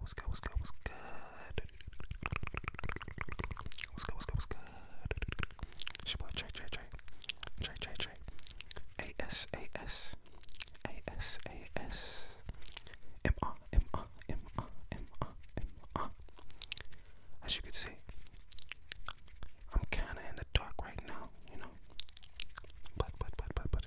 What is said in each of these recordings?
What's good? What's good? What's good? What's good? What's good? What's good? It's your boy Trey Trey Trey Trey Trey Trey A S A S A S A S M R M R M R M R M R. As you can see, I'm kind of in the dark right now, you know. But but but but but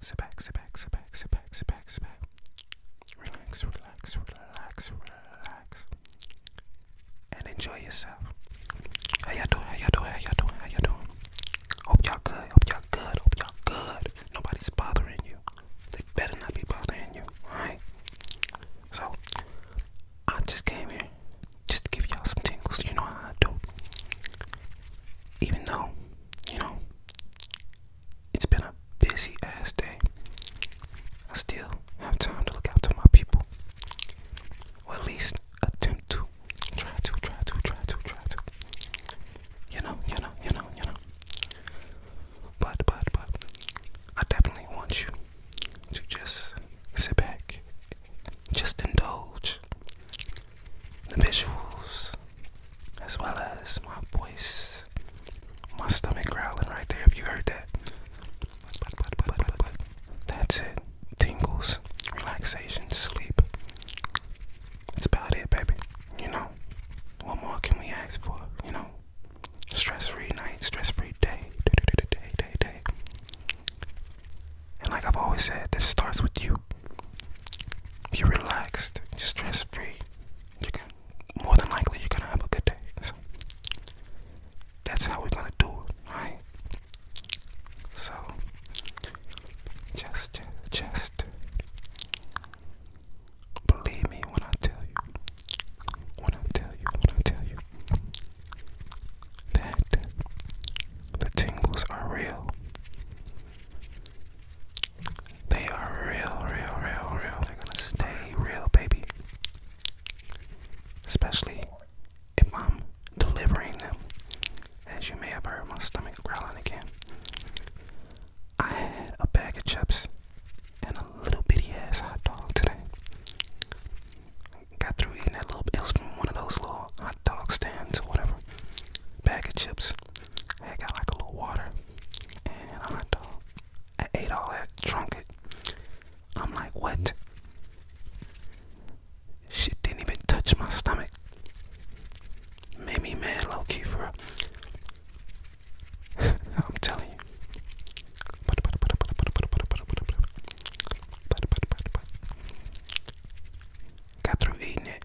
Sit back, sit back, sit back, sit back, sit back, sit back. Relax, relax, relax, relax. And enjoy yourself. How y'all doing? How y'all doing? How y'all doing? How y'all doing? Hope y'all good. Hope y'all good. Hope y'all good. Nobody's bothering you. They better not be bothering you. Alright? So, I just came here just to give y'all some tingles. You know how I do. Even though, you know, it's been a busy ass day. I still have time to look after my people. Or at least attempt to. Try to, try to, try to, try to. You know, you know, you know, you know. But, but, but, I definitely want you to just sit back, just indulge, the visuals, as well as my voice, my stomach growling right there. Have you heard that, that's it. Tingles, relaxation, sleep. That's about it, baby. You know, what more can we ask for? You know, stress-free night, stress-free day, day, day, day, day. And like I've always said, this starts with you you're relaxed, stress free, you can more than likely you're gonna have a good day. So that's how we're gonna do it, right? So just just believe me when I tell you when I tell you when I tell you that the tingles are real. They are real, real, real, real. They're gonna stay real, baby. Especially if I'm delivering them. As you may have heard, my stomach growling again. I had a bag of chips and a little bitty ass hot dog today. Got through eating that little. It ass from one of those little hot dog stands or whatever. Bag of chips, I got like a little water and a hot dog. I ate all that, drunk it. I'm like, what? Shit didn't even touch my stomach. Made me mad low key for I'm telling you. Got through eating it.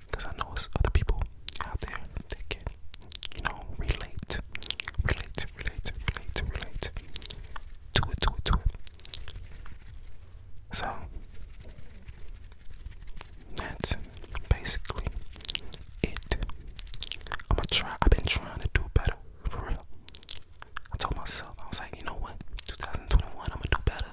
because I know it's other people out there that can, you know, relate, relate, relate, relate, relate to it, to it, to it. So that's basically it. I'm gonna try. I've been trying to do better, for real. I told myself I was like, you know what, 2021, I'm gonna do better.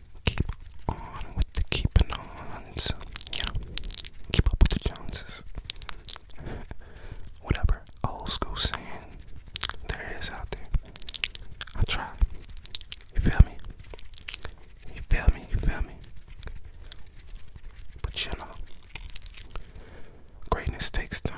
Keep on with the keeping ons. Yeah. Keep up with the Joneses. Whatever old school saying there is out there. I try. You feel me? You feel me? You feel me? But you know, greatness takes time.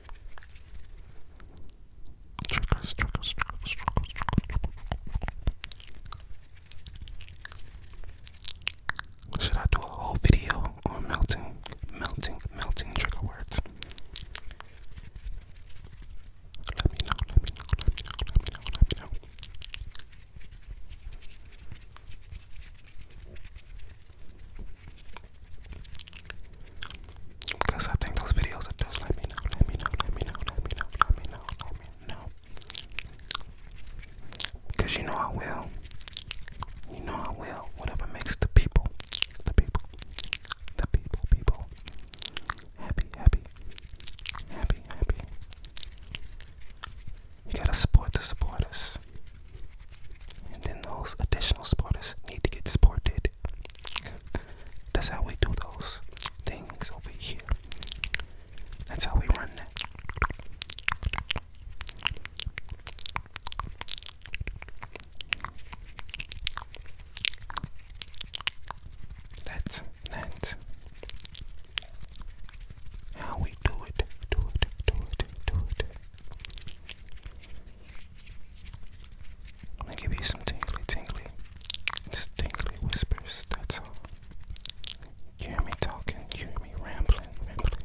Triggers, triggers, triggers, triggers, triggers. Should I do a whole video on melting, melting, melting trigger words? Let me know, let me know, let me know, let me know, let me know. Because I think those videos are just let me know, let me know, let me know, let me know, let me know, let me know. Because you know I will. You know I will. Whatever makes the people, the people, the people, people happy, happy, happy, happy. You gotta support the supporters. And then those additional supporters need to get supported. That's how we do those things over here. That's how we run that. That's that. How we do it, do it, do it, do it. I'm gonna give you some tingly, tingly, just tingly whispers. That's all. hear me talking, hear me rambling, rambling.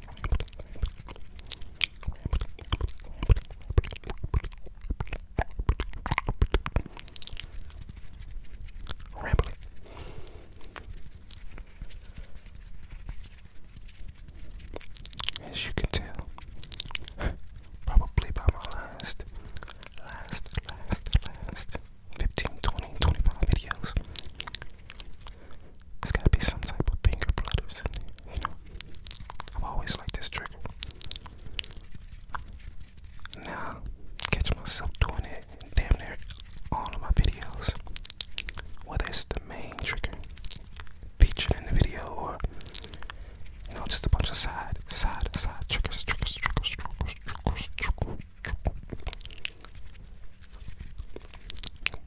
As you can tell, probably by my last, last, last, last 15, videos. There's gotta be some type of finger flutters in there, you know. I've always liked this trigger. Now, catch myself doing it damn near all of my videos. Whether it's the main trigger, featured in the video or you know just a bunch of side side side triggers triggers triggers triggers triggers triggers, triggers.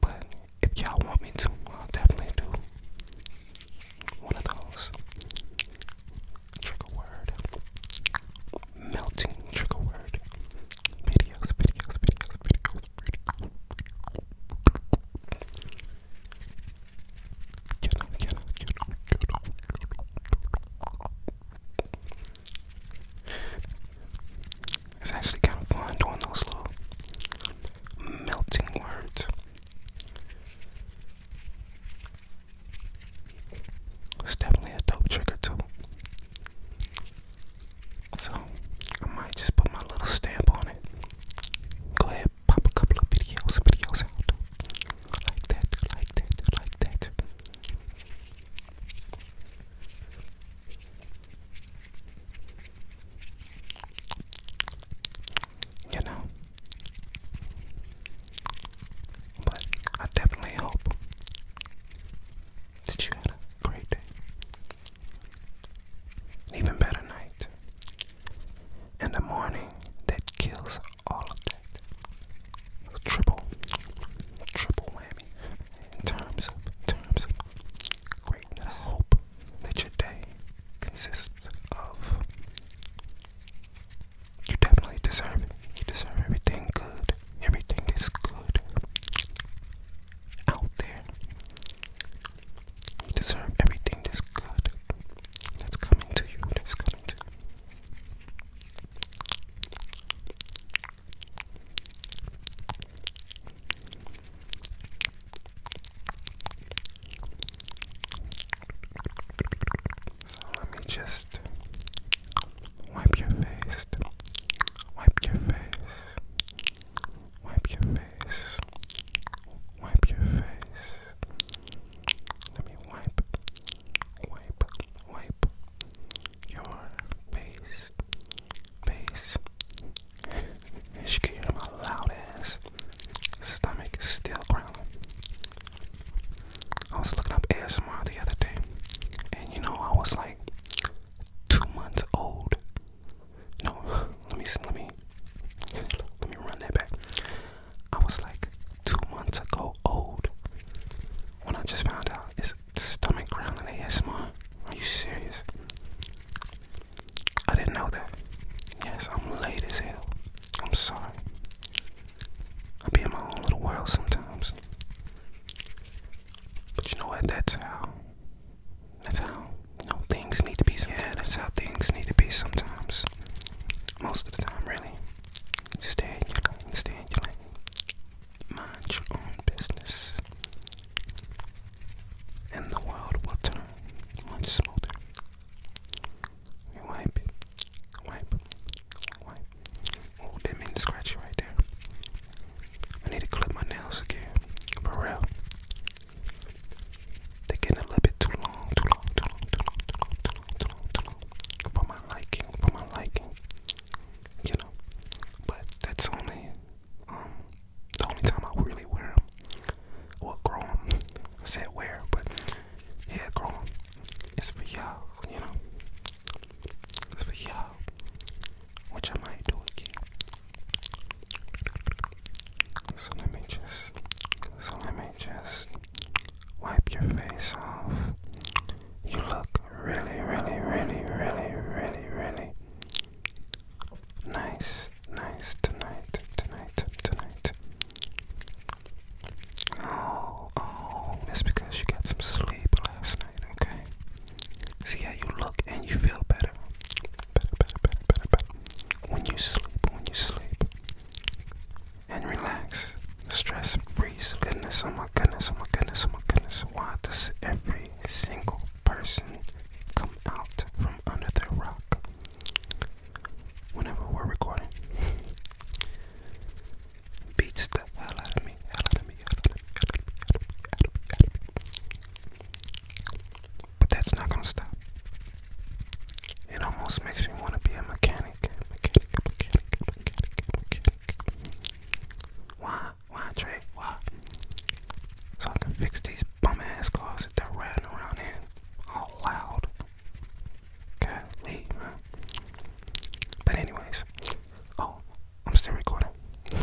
but if y'all want me to I'll definitely do one of those trigger word melting trigger word videos videos videos, videos. It's actually kind of fun doing those little melting words. It's definitely a dope trigger, too. So, I might just put my little stamp on it. Go ahead, pop a couple of videos, videos out. Like that, like that, like that. You know? But I definitely hope that you had a great day. An even better night in the morning that kills all of that. Triple, triple whammy terms of, terms of greatness. hope that your day consists of. You definitely deserve it. You deserve everything good. Everything is good out there. You deserve everything that's good that's coming to you, that's coming to you. So let me just wipe your face, wipe your face, Wipe your face. Wipe your face. Let me wipe, wipe, wipe your face. Face. As you can hear my loud ass stomach is still growling. I was looking up ASMR the other day, and you know I was like two months old no, let me let me let me run that back. I was like two months ago old when I just found out it's stomach growling ASMR. Are you serious? I didn't know that. Yes, I'm late as hell. I'm sorry. I be in my own little world sometimes. But you know what? That's how that's how you things need to be. Yeah, that's how things need to be sometimes. Most of the time, really. Stay in your stay in your Mind your own business. And the world will turn much smoother. You wipe it. Wipe. Wipe. Oh, that mean scratch right there. I need to clip my nails again. For real. They're getting a little bit too long, too long, too long, too long, too long, too long, too long, too long for my liking, for my liking. You know, but that's only um the only time I really wear them. Well, grow them. I said wear, but yeah, grow them. It's for y'all, you know. It's for y'all, which I might do again. So let me just, so let me just wipe your face off. You look really, really, really, really, really, really nice, nice tonight, tonight, tonight. Oh, oh, that's because you got some sleep last night, okay? See how you look and you feel better better, better, better, better, better. When you sleep, when you sleep and relax, stress free. Goodness, oh my goodness, oh my goodness, oh my goodness. Why does every single person come out from under their rock whenever we're recording? Beats the hell out of me, but that's not gonna stop. It almost makes me want to be a mechanic. Mechanic, mechanic, mechanic, mechanic. Why? Why, Trey? Why? So I can fix these bum ass cars that they're riding around here all loud. God, leave, man. But anyways, oh, I'm still recording.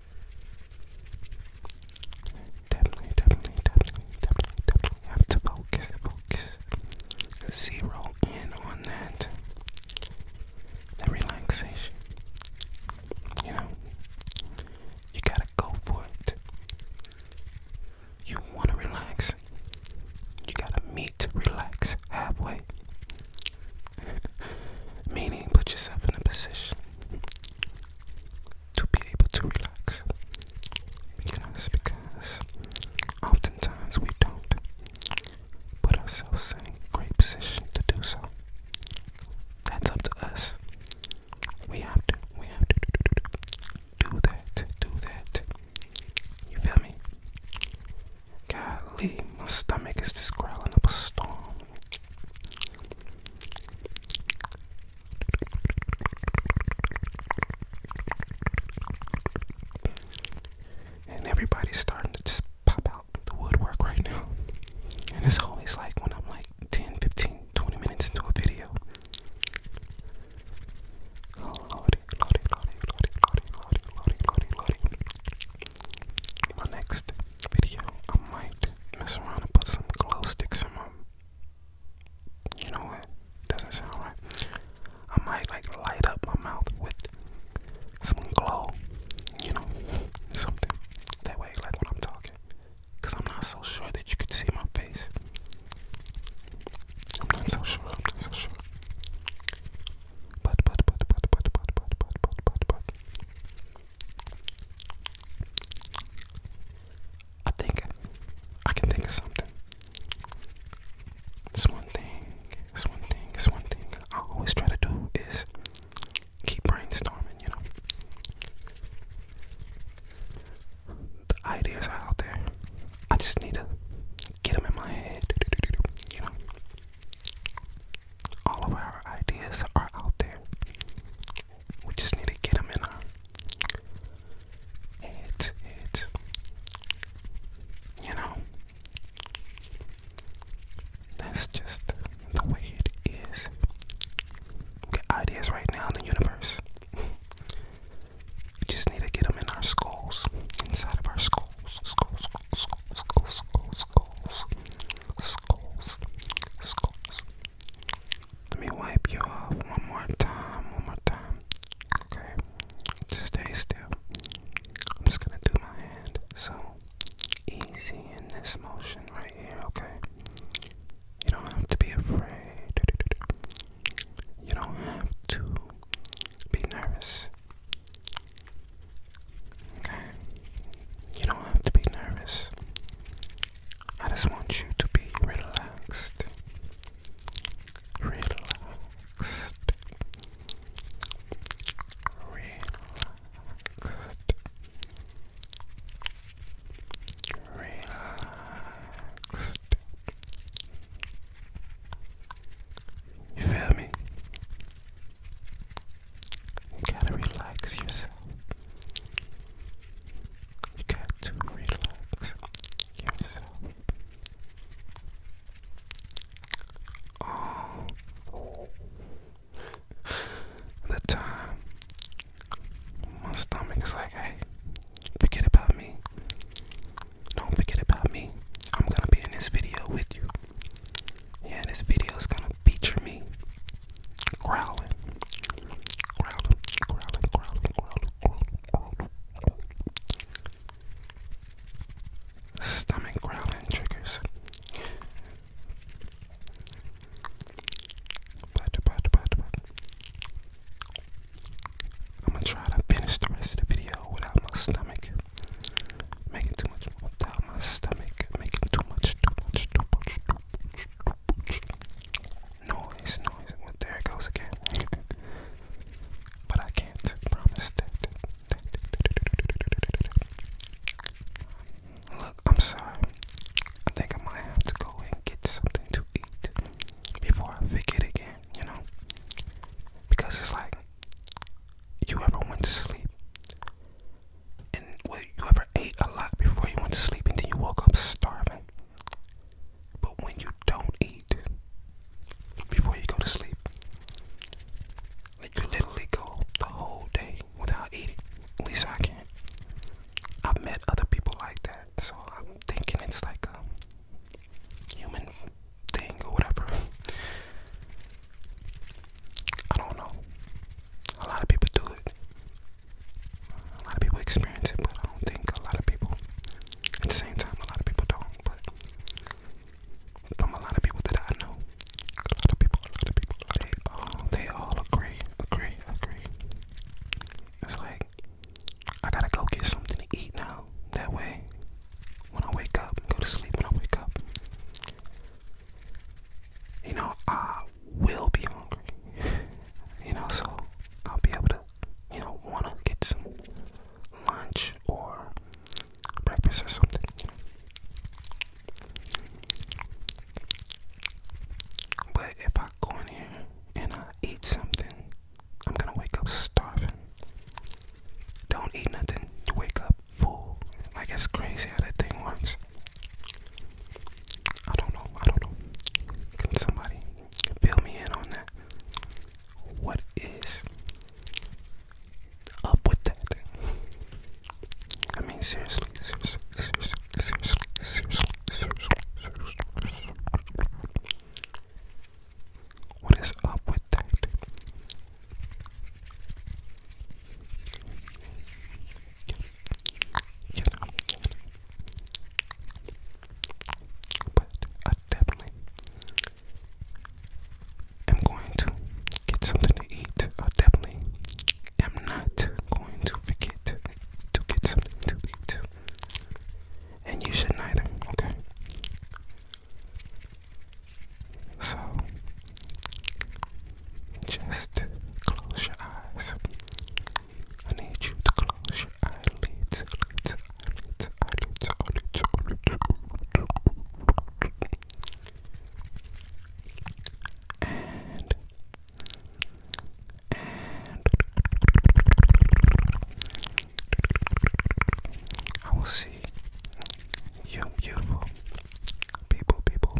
Definitely, definitely, definitely, definitely, definitely have to focus, focus, zero in on that, that relaxation. You know, you gotta go for it. You wanna relax, you gotta meet, relax halfway. Meaning, put yourself in a position to be able to relax. Because, because oftentimes we don't put ourselves in a great position to do so. That's up to us. We have to, we have to do that, do that. You feel me? Golly, my stomach is just growling up a storm. And everybody's starting to just pop out the woodwork right now. And it's always like when I'm like 10, 15, 20 minutes into a video. Oh lordy, lordy, lordy, lordy, lordy, lordy, lordy, lordy, lordy. next video, I might mess around and put some glow sticks in my. You know what? Doesn't sound right. I might like light up my mouth with some glow. You know, something that way, like when I'm talking, cause I'm not so sure that you could see my face. I'm not so sure. I'm not so sure. But but but but but but but but but but but. I think I can think of something. It's one thing, it's one thing, it's one thing I always try to do is keep brainstorming, you know. The ideas are out there. I just need to get them in my head, you know. All of our ideas are out there. We just need to get them in our heads, You know, that's just the way it is. We get ideas right now in the universe. We just need to get them in our skulls, inside of our skulls, skulls, skulls, skulls, skulls, skulls, skulls, skulls, let me wipe you off one more time, one more time. Okay, just stay still. I'm just gonna do my hand so easy in this motion right here, okay? You don't have to be afraid. You don't have to be nervous. Okay? You don't have to be nervous. I just want you to be relaxed. Relaxed. Relaxed. Relaxed. You feel me? You gotta relax yourself. You got to relax yourself. Oh. The time my stomach's like, hey, forget about me. Don't forget about me. I'm gonna be in this video with you. Yeah, this video's gonna feature me growling, growling, growling, growling, growling, growling, growling. Stomach growling triggers. I'm gonna try to finish the rest of the video without my stomach making too my stomach, making too much, noise, noise. there it goes again. but I can't promise that. Look, I'm sorry. I think I might have to go and get something to eat before I fake it again, you know? Because it's like, you ever went to sleep and you ever ate a lot before you went to sleep and then you woke up starving? But when you don't eat before you go to sleep, like you literally go the whole day without eating. At least I can. I've met other people like that, so I'm thinking it's like a human thing or whatever. I don't know. A lot of people do it. A lot of people experience it, but I don't think a lot of people. At the same time, a lot of people don't. But from a lot of people that I know, a lot of people, a lot of people, they all, they all agree, agree, agree. It's like I gotta go get something to eat now. That way, when I wake up, go to sleep. When I wake up, you know, I will be hungry. you know, so I'll be able to, you know, wanna get some lunch or breakfast or something. But if I go in here and I eat something, I'm gonna wake up starving. Don't eat nothing. Wake up full. Like it's crazy how that thing works. I don't know. I don't know. somebody fill me in on that? What is up with that? I mean, seriously, seriously, seriously, seriously, seriously, seriously, seriously, seriously. What is up with that? but I definitely am going to get something to eat. I definitely am not going to forget to get something to eat. And you should neither, okay? So, just close your eyes. I need you to close your eyelids, eyelids, eyelids, eyelids, eyelids, eyelids, And, and I will see you beautiful people, people,